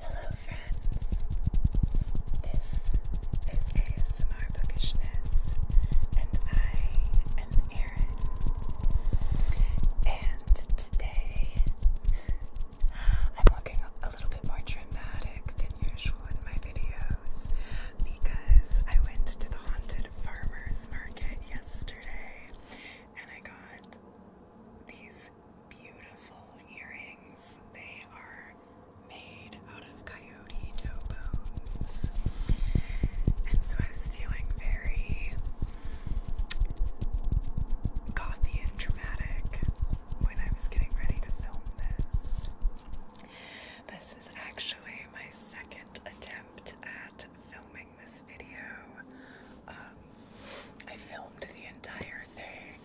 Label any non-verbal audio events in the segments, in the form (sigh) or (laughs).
Hello, friends. This is ASMR Bookishness, and I am Erin. And today I'm looking a little bit more dramatic than usual in my videos because I went to the haunted farmers market yesterday and I got these beautiful earrings. They are made out of coyote toe bones. And so I was feeling very gothy dramatic when I was getting ready to film this. This is actually my second attempt at filming this video. Um, I filmed the entire thing,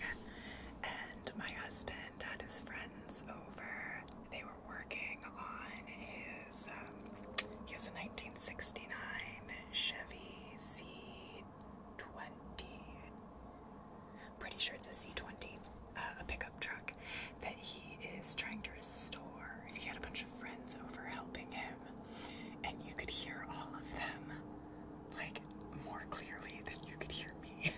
and my husband had his friends over. They were working on his. Um, he has a 1969 Chevy C C20. Pretty sure it's a C20, uh, a pickup truck that he is trying to restore. He had a bunch of friends over helping him, and you could hear all of them like more clearly than you could hear me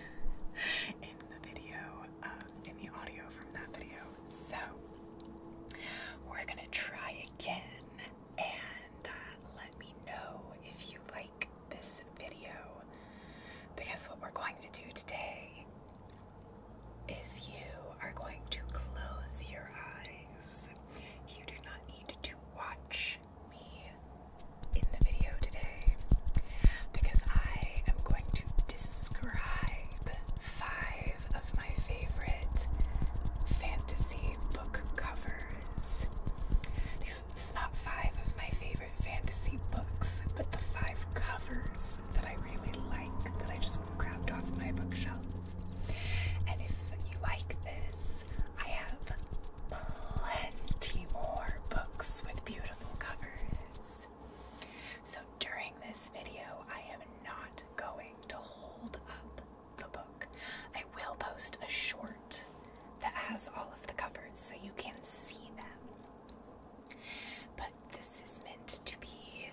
(laughs) in the video, um, in the audio from that video. So, we're gonna try again and uh, let me know if you like this video because what we're going to do today is you are going to close your eyes. You do not need to watch me in the video today because I am going to describe five of my favorite fantasy book covers. These, this is not five of my favorite fantasy books, but the five covers that I really like that I just grabbed off my bookshelf. And if you like this, I have plenty more books with beautiful covers. So during this video, I am not going to hold up the book. I will post a short that has all of the covers so you can see them. But this is meant to be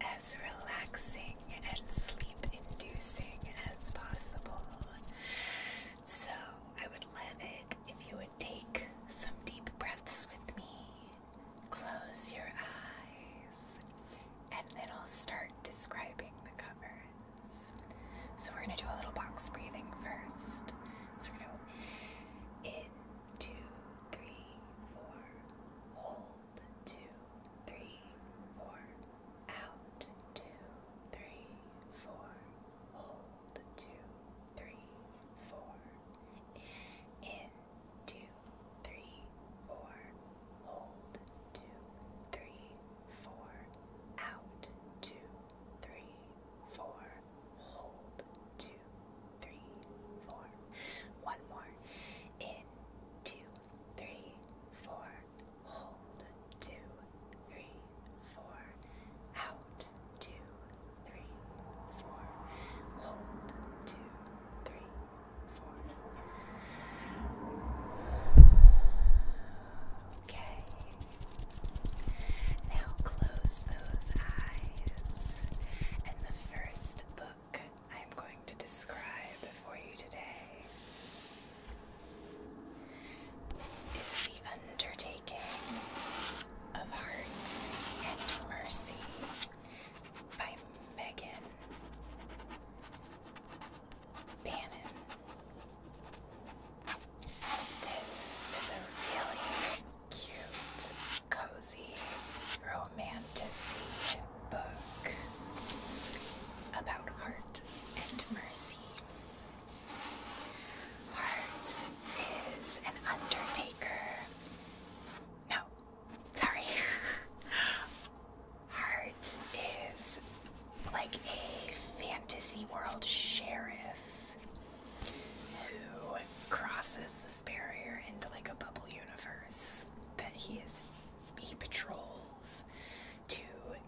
as relaxing and sleep inducing as possible. So I would love it if you would take some deep breaths with me, close your eyes, and then I'll start describing the covers. So we're gonna do a little box breathing first. So we're gonna in, two, three, four, hold, two, three, four, out, two, three, four, hold, two, three, four, in, two, three, four, Hold, two, three, four. Out, two, three, four. Hold, two, three, four. One more. In, two, three, four. Hold, two, three, four. Out, two, three, four. Hold, two, three, Okay. Now close those eyes. And the first book I'm going to describe for you today is The Undertaking of Heart and Mercy by Megan Bannon this is a really cute, cozy, romantic book about heart and mercy. Heart is an undertaker. No, sorry. (laughs) Hart is like a fantasy world sheriff who crosses this barrier into like a bubble universe that he is he patrols to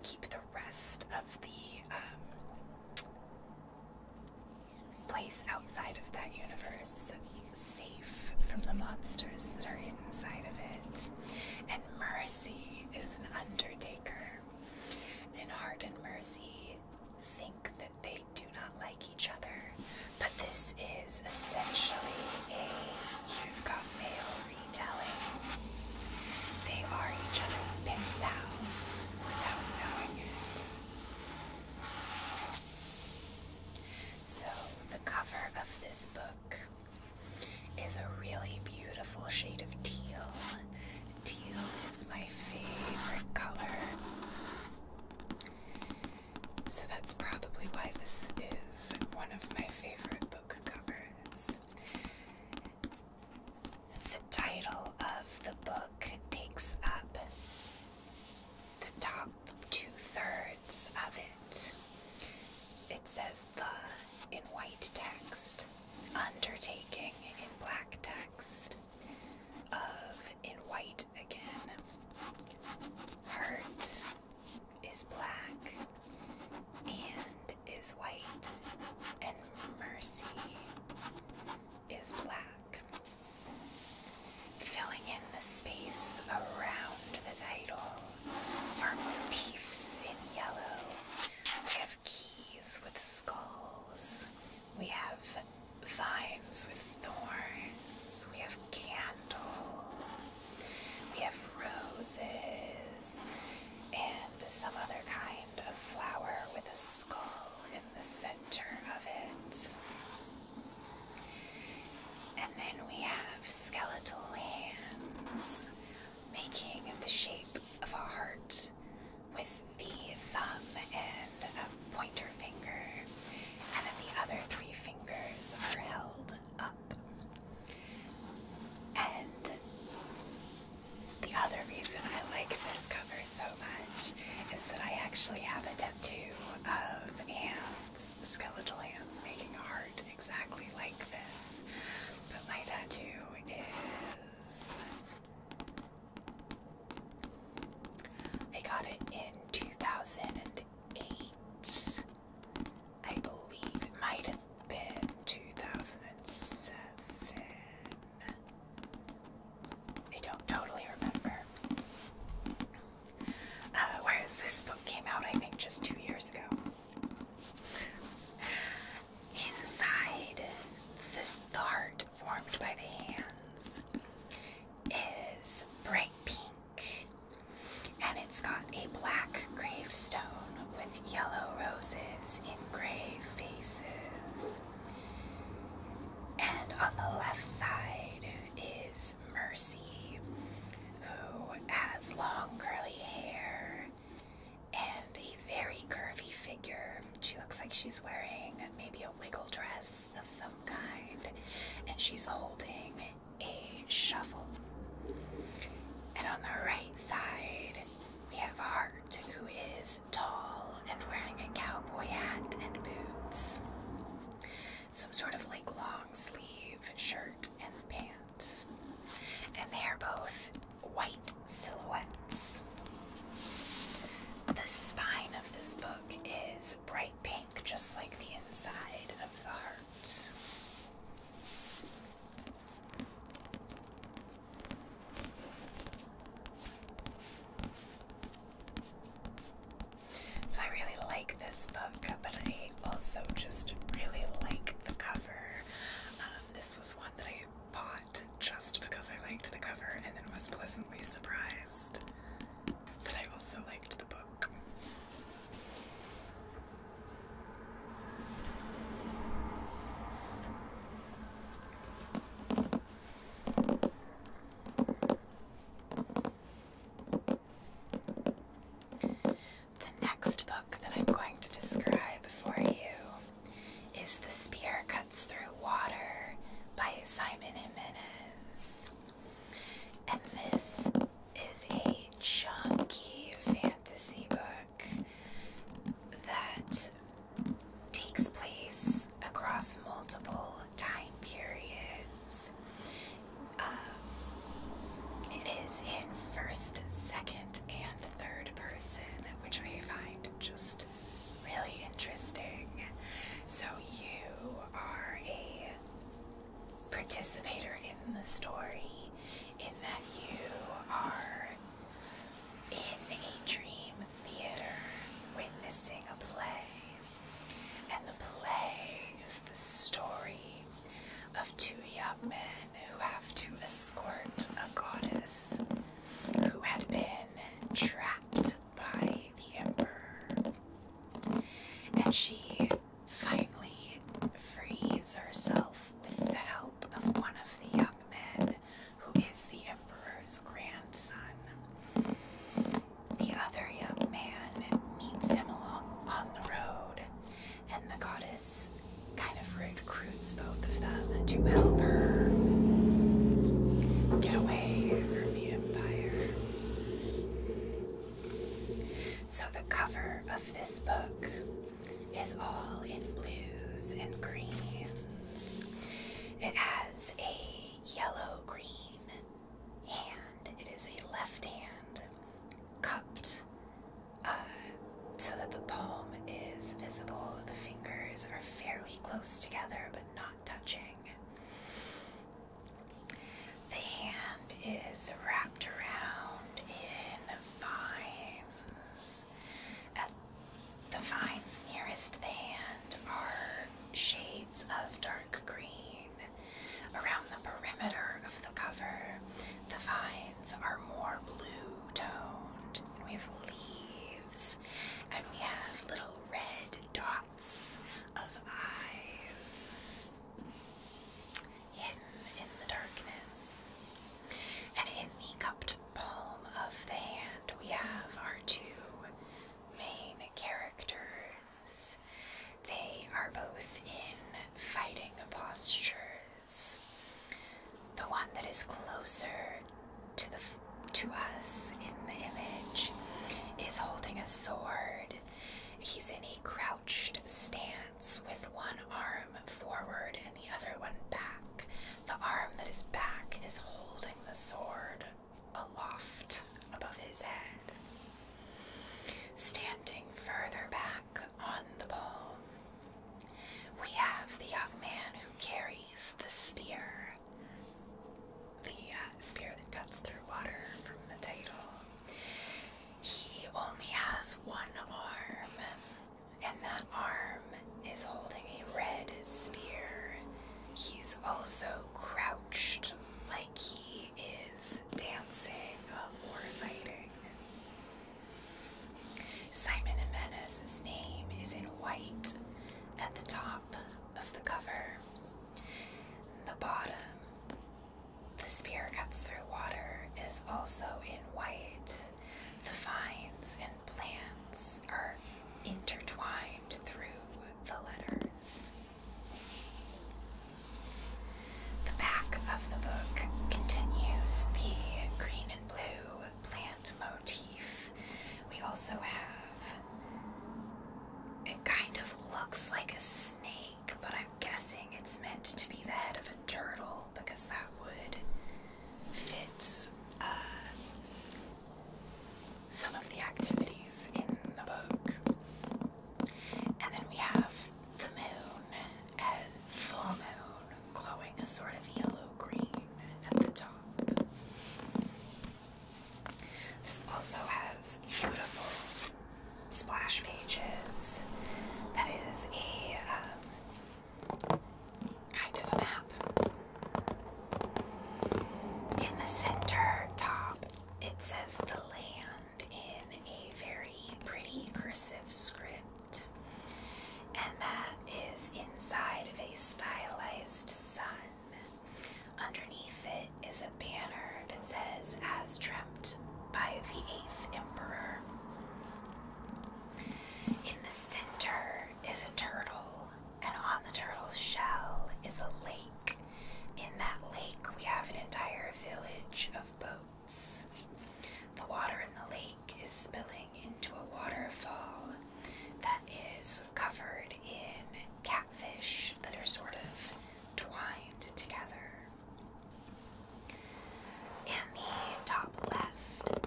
keep the rest of the um, place outside of that universe safe from the monsters that are inside of it. And mercy is an undertaker. And heart and mercy think that they do not like each other. But this is essentially a you retelling. They are each other's pin pals without knowing it. So, the cover of this book is a really beautiful shade of teal. Teal is my favorite color. So that's probably why this is one of my favorite book covers. The title of the book takes up the top two thirds of it. It says the in white text, undertaking in black text, of in white again. Hurt is black and is white, and mercy is black. Filling in the space around the title our motifs in yellow. We have keys with skulls. We have vines with thorns. We have candles. We have roses and some other kind of flower with a skull in the center of it. And then we have skeletal hands making the shape of a heart with the thumb and a pointer finger, and then the other three fingers are held up. And the other reason I like this cover so much is that I actually have a tattoo of hands these skeletal hands making a heart exactly like this. But my tattoo is. I got it in 2008. I believe it might have been 2007. I don't totally remember. Uh, whereas this book came out, I think, just two years ago. Inside this, heart formed by the hands is bright pink, and it's got a black gravestone with yellow roses in grave faces. And on the left side is mercy, who has long curly hair and a very curvy figure. She looks like she's wearing maybe a wiggle dress of some kind, and she's holding a shovel. And on the right side, we have Hart, who is tall and wearing a cowboy hat and boots some sort of like long sleeve shirt and pants. And they are both white silhouettes. The spine of this book is bright pink, just like the inside of the heart. So I really like this book, but I also just really like the cover. Um, this was one that I bought just because I liked the cover and then was pleasantly surprised But I also liked the book. The next book that I'm going to describe for you is The Spear Cuts Through Water by Simon and Jimenez. And this is a chunky fantasy book that takes place across multiple time periods. Um, it is in first, second, and third person, which I find just really interesting. So you are a participator in the story, in that you are in a dream theater witnessing a play. And the play is the story of two young men who have to escort a goddess who had been trapped by the emperor. And she finally frees herself with the help of one of the young men who is the emperor's grandson. The other young man meets him along on the road, and the goddess kind of recruits both of them to help her get away from the empire. So, the cover of this book is all in blues and greens. It has a yellow green hand. It is a left hand cupped uh, so that the palm is visible. The fingers are fairly close together but not touching. The hand is wrapped around in vines. the vines nearest the hand are shades of dark green. Around the perimeter of the cover, the vines are more blue toned. We have leaves and we have little red dots of eyes in the darkness. And in the cupped palm of the hand, we have our two main characters. They are both in fighting postures. The one that is closer to the to us in the image is holding a sword. He's in a crouched stance with one arm forward and the other one back. The arm that is back is holding the sword aloft above his head. Standing further back on the pole, we have the young man who carries the spear, the uh, spear that cuts through water from the title. He only has one arm, and that arm is holding a red spear. He's also crouched he is dancing uh, or fighting. Simon Jimenez's name is in white at the top of the cover. The bottom, the spear cuts through water, is also in white. The vines and plants are intertwined through the letters. The back of the book continues the green and blue plant motif. We also have, it kind of looks like a snake, but I'm guessing it's meant to be the head of a turtle because that would fits. Uh, some of the activities in the book. And then we have the moon as full moon glowing a sort of yellow green at the top. This also has beautiful splash pages. That is a um, kind of a map. In the center top it says the land in a very pretty cursive script, and that is inside of a stylized sun. Underneath it is a banner that says, As dreamt by the eighth emperor. In the center is a turtle and on the turtle's shell is a lake. In that lake, we have an entire village of boats. The water in the lake is spilling into a waterfall that is covered in catfish that are sort of twined together. In the top left,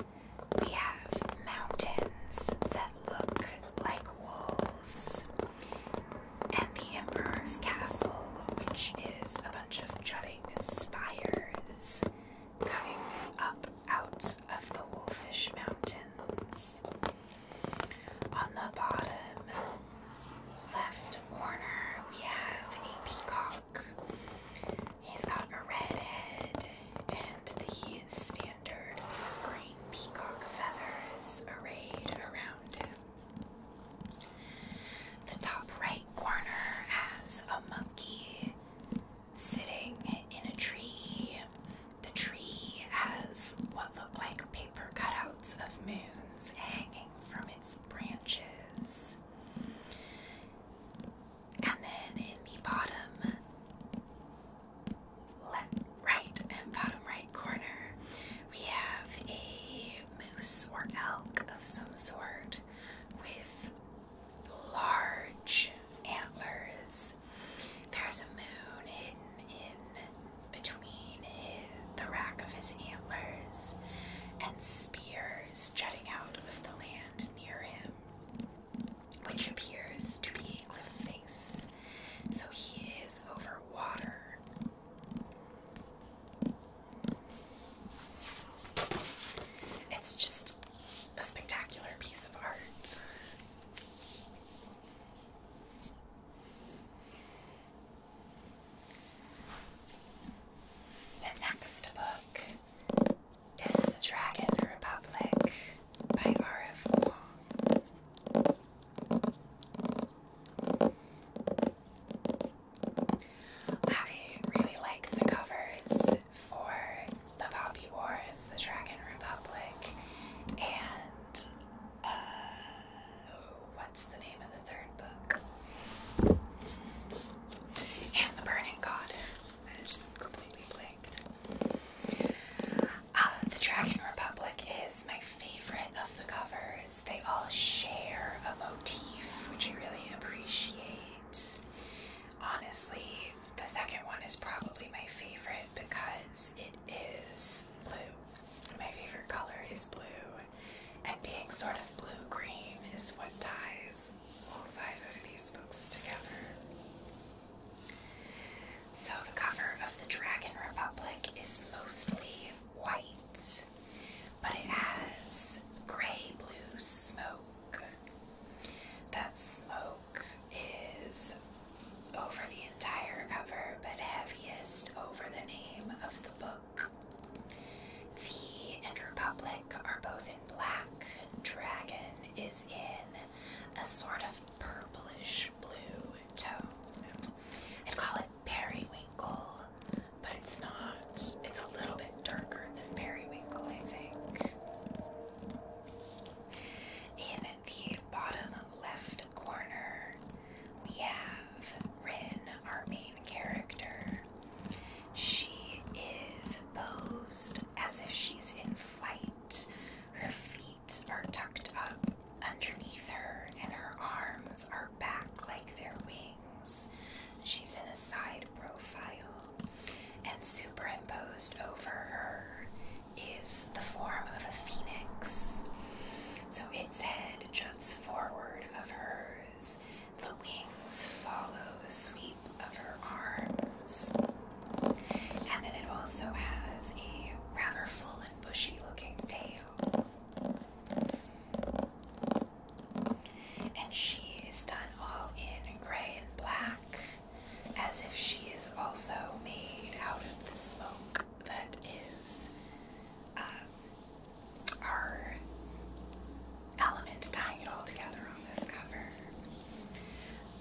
we have mountains that look like wolves and the Emperor's Castle, which is a bunch of jutting spires coming up out of the Wolfish Mountains. On the bottom left corner, we have a peacock. He's got a red head and the standard green peacock feathers arrayed around him. The top right corner has a monkey sitting in a tree. The tree has what look like paper cutouts of moons hanging from its branches. And then in the bottom, left, right, and bottom right corner, we have a moose or elk of some sort with large antlers. There's a moon hidden in between the rack of his antlers, and spears jutting out of the land near him, which appears to be a cliff so he is over water. It's just a spectacular piece of art. The next book is The Dragon Republic by R.F. I really like the covers for the Poppy Wars, the Dragon Republic, and uh, what's the name of the third book? And the Burning God. I completely blanked. Uh, the Dragon Republic is my favorite of the covers. They all share a motif, which I really appreciate. Honestly, the second one is probably my favorite because it is blue. My favorite color is blue, and being sort of blue green is what ties all five of these books together. So, the cover of the Dragon Republic is mostly white, but it has gray blue smoke. That smoke is over the entire cover, but heaviest over the name of the book. The and Republic are both in black. Dragon is in a sort of purplish blue tone. I'd call it periwinkle, but it's not. It's a little bit darker than periwinkle, I think. In the bottom left corner, we have Rin, our main character. She is posed as if she's in flight. Her feet are tucked up underneath her, and her arms are back like their wings. She's in a side profile, and superimposed over her is the form of a phoenix. So its head juts forward of hers, the wings follow the sweep of her arms. And then it also has a rather full and bushy looking tail. And she is done all in gray and black, as if she is also made out of the smoke that is our um, element tying it all together on this cover.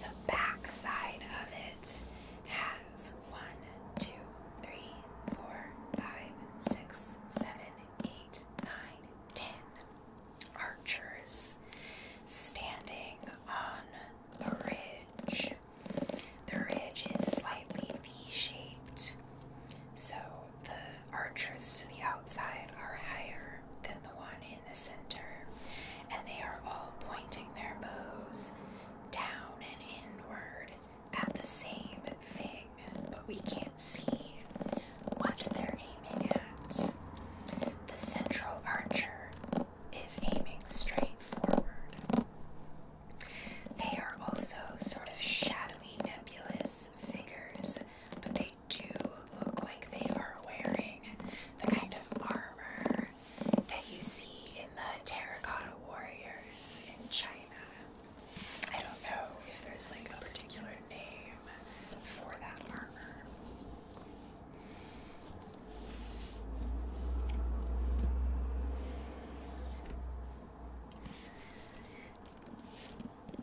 The back side of it has one, two, three, four, five, six, seven, eight, nine, ten archers standing on the ridge. The ridge is slightly V shaped, so the archers to the outside are higher than the one in in the center, and they are all pointing their bows down and inward at the same thing, but we can't see what they're aiming at. The central archer is aiming straight forward. They are also sort of shadowy, nebulous figures, but they do look like they are wearing the kind of armor that you see in the terracotta warriors in China. I don't know if there's like a particular name for that armor.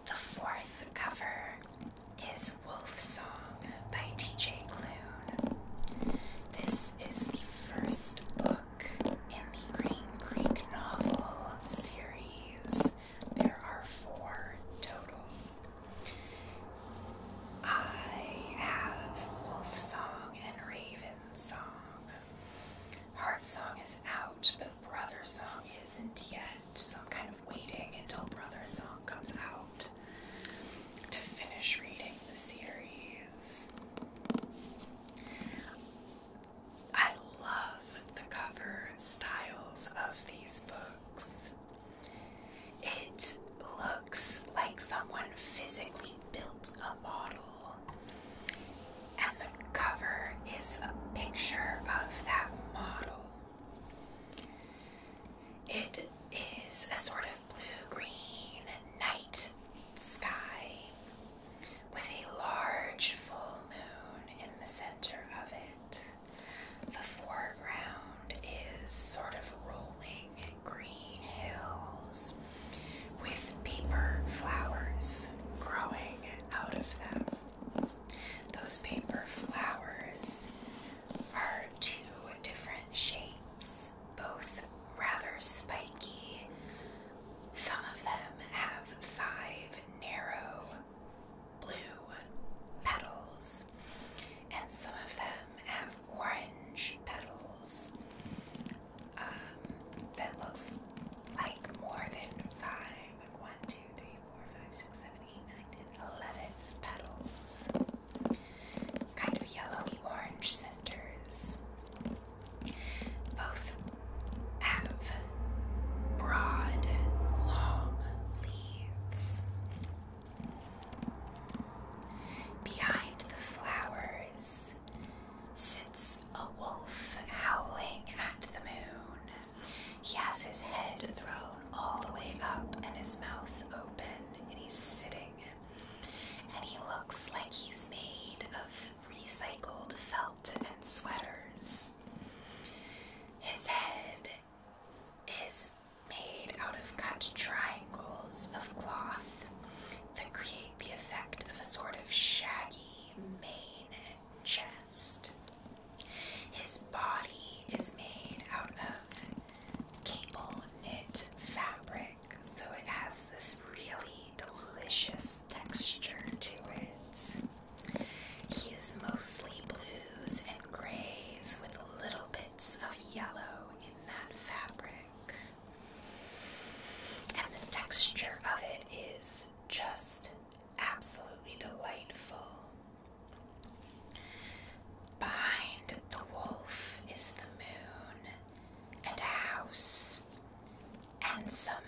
The fourth cover is Wolf Song by T.J. Klune. This is the first book in the Green Creek novel series. There are four total. I have Wolf Song and Raven Song. Heart Song is out, but Brother Song isn't yet, so I'm kind of waiting until Brother Song comes out to finish reading the series. I love the cover styles of these books. It looks like someone physically built a model, and the cover is a picture of that model. It is a sort of blue green night sky with a large full moon in the center of it. The foreground is sort of rolling green hills with paper flowers growing out of them. Those paper flowers are two different shapes, both rather spiky. Some of them have five narrow blue petals, and some of them have orange petals um, that looks like more than five. Like one, two, three, four, five, six, seven, united eleven petals, kind of yellowy orange centers. Both have broad, long leaves. Behind the flowers sits a wolf howling at the moon. He has his head thrown all the way up and his mouth open, and he's sitting. And he looks like he's made of recycled felt and sweaters. His head is made out of cut triangles of cloth that create the effect of a sort of shaggy mane chest. His body is made out of cable knit fabric, so it has this really delicious texture to it. He is mostly blues and grays with little bits of yellow in that fabric. And the texture of it is just absolutely delightful. Behind the wolf is the moon and a house and some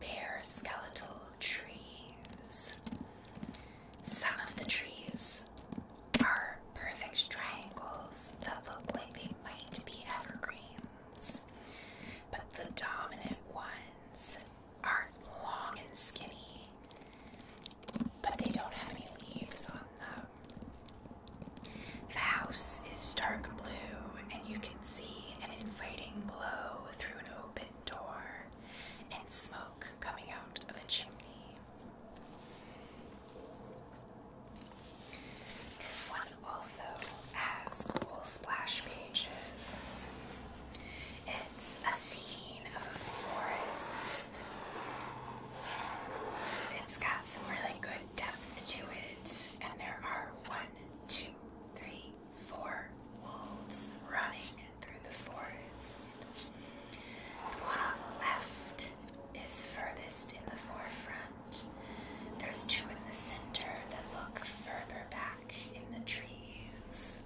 bare skeletal trees. Some of the trees are perfect triangles that look like they might be evergreens, but the dominant ones are long and skinny but they don't have any leaves on them. The house is dark blue, and you can see an inviting glow through an open door and smoke coming out of a chimney. This one also has cool splash pages. It's a scene of a forest. It's got some really good depth to it, and there are one, two, three, four wolves running through the forest. The one on the left is furthest in the forefront. There's two in the center that look further back in the trees.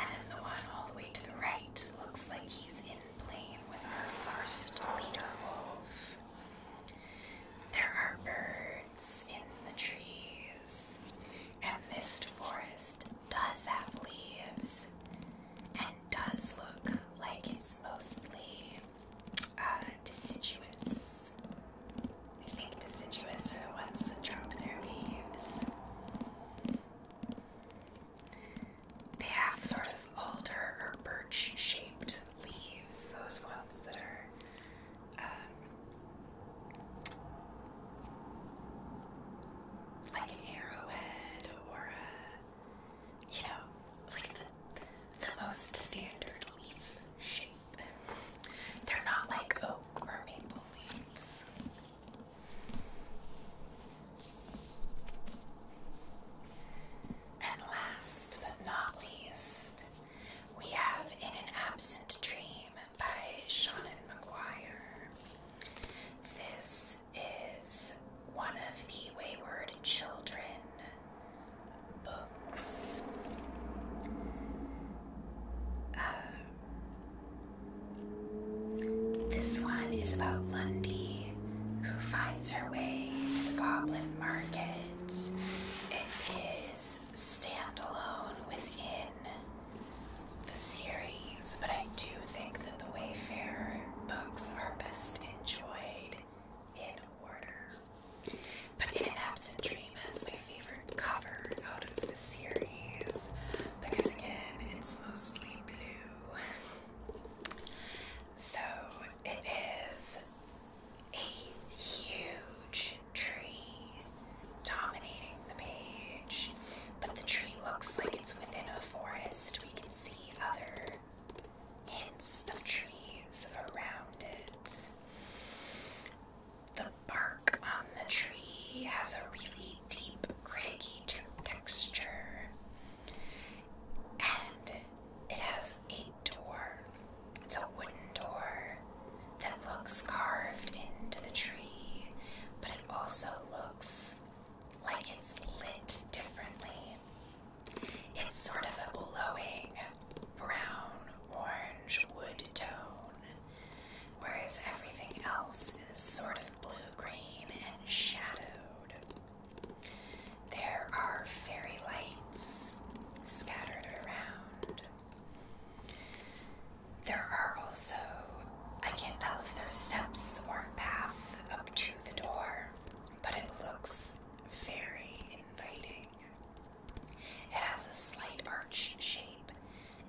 And then the one all the way to the right looks like he's in plane with our first leader wolf. There are birds in the trees, and this forest does have leaves and does look like it's mostly uh, deciduous. I think deciduous are the ones that drop their leaves. They have sort of alder or birch shaped leaves, those ones that are um, like an arrowhead or you know, like the most standard leaf shape. They're not like oak or maple leaves. And last but not least, we have In an Absent Dream by Shannon McGuire. This is one of the Wayward Children books. Uh, this one is about Lundy, who finds her way to the Goblin Market. It is standalone within the series, but I do think that the Wayfarer books are best enjoyed in order. But In an Absent Dream is my favorite cover out of the series because again, it's mostly blue. So it is a huge tree dominating the page, but the tree looks like it's within a forest. We can see other hints of trees around it. The bark on the tree has a really deep, craggy texture, and it has a door. It's a wooden door that looks carved into the tree, but it also looks like it's lit differently. It's sort of a glowing brown orange wood tone whereas everything else is sort of blue green and shadowed. There are fairy lights scattered around. There are also, I can't tell if there's steps or a path up to the door, but it looks very inviting. It has a slight arch shape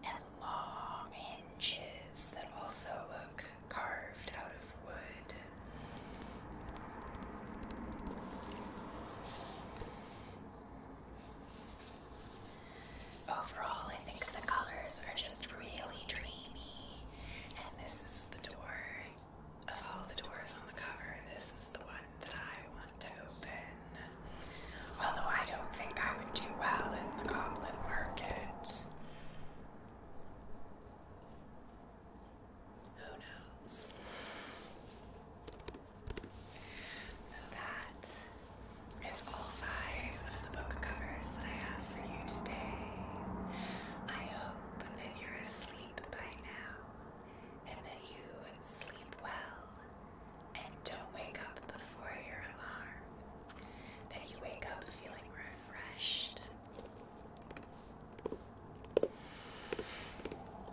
and long hinges that also look carved out of wood. Overall, I think the colors are just really dreamy, and this is the door. Of all the doors on the cover, this is the one that I want to open. Although I don't think I would do well in the goblin market. Who knows? So that is all five of the book covers that I have for you today. I hope that you're asleep by now and that you sleep well and don't wake up before your alarm. That you wake up feeling refreshed.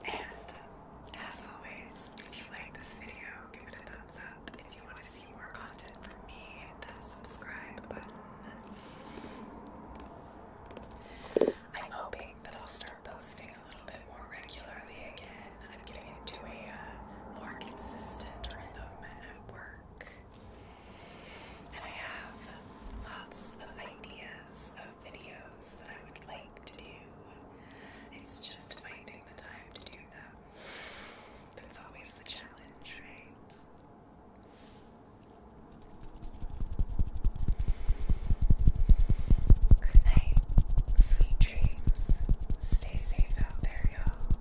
And as always, if you like this video, give it a thumbs up. And If you want to see more content from me, hit that subscribe button. I'm hoping that I'll start posting a little bit more regularly again. I'm getting into a uh, more consistent rhythm at work. And I have lots of ideas of videos that I would like to do. It's just finding the time to do them. That's always the challenge, right? Good night, sweet dreams. Stay safe out there, y'all.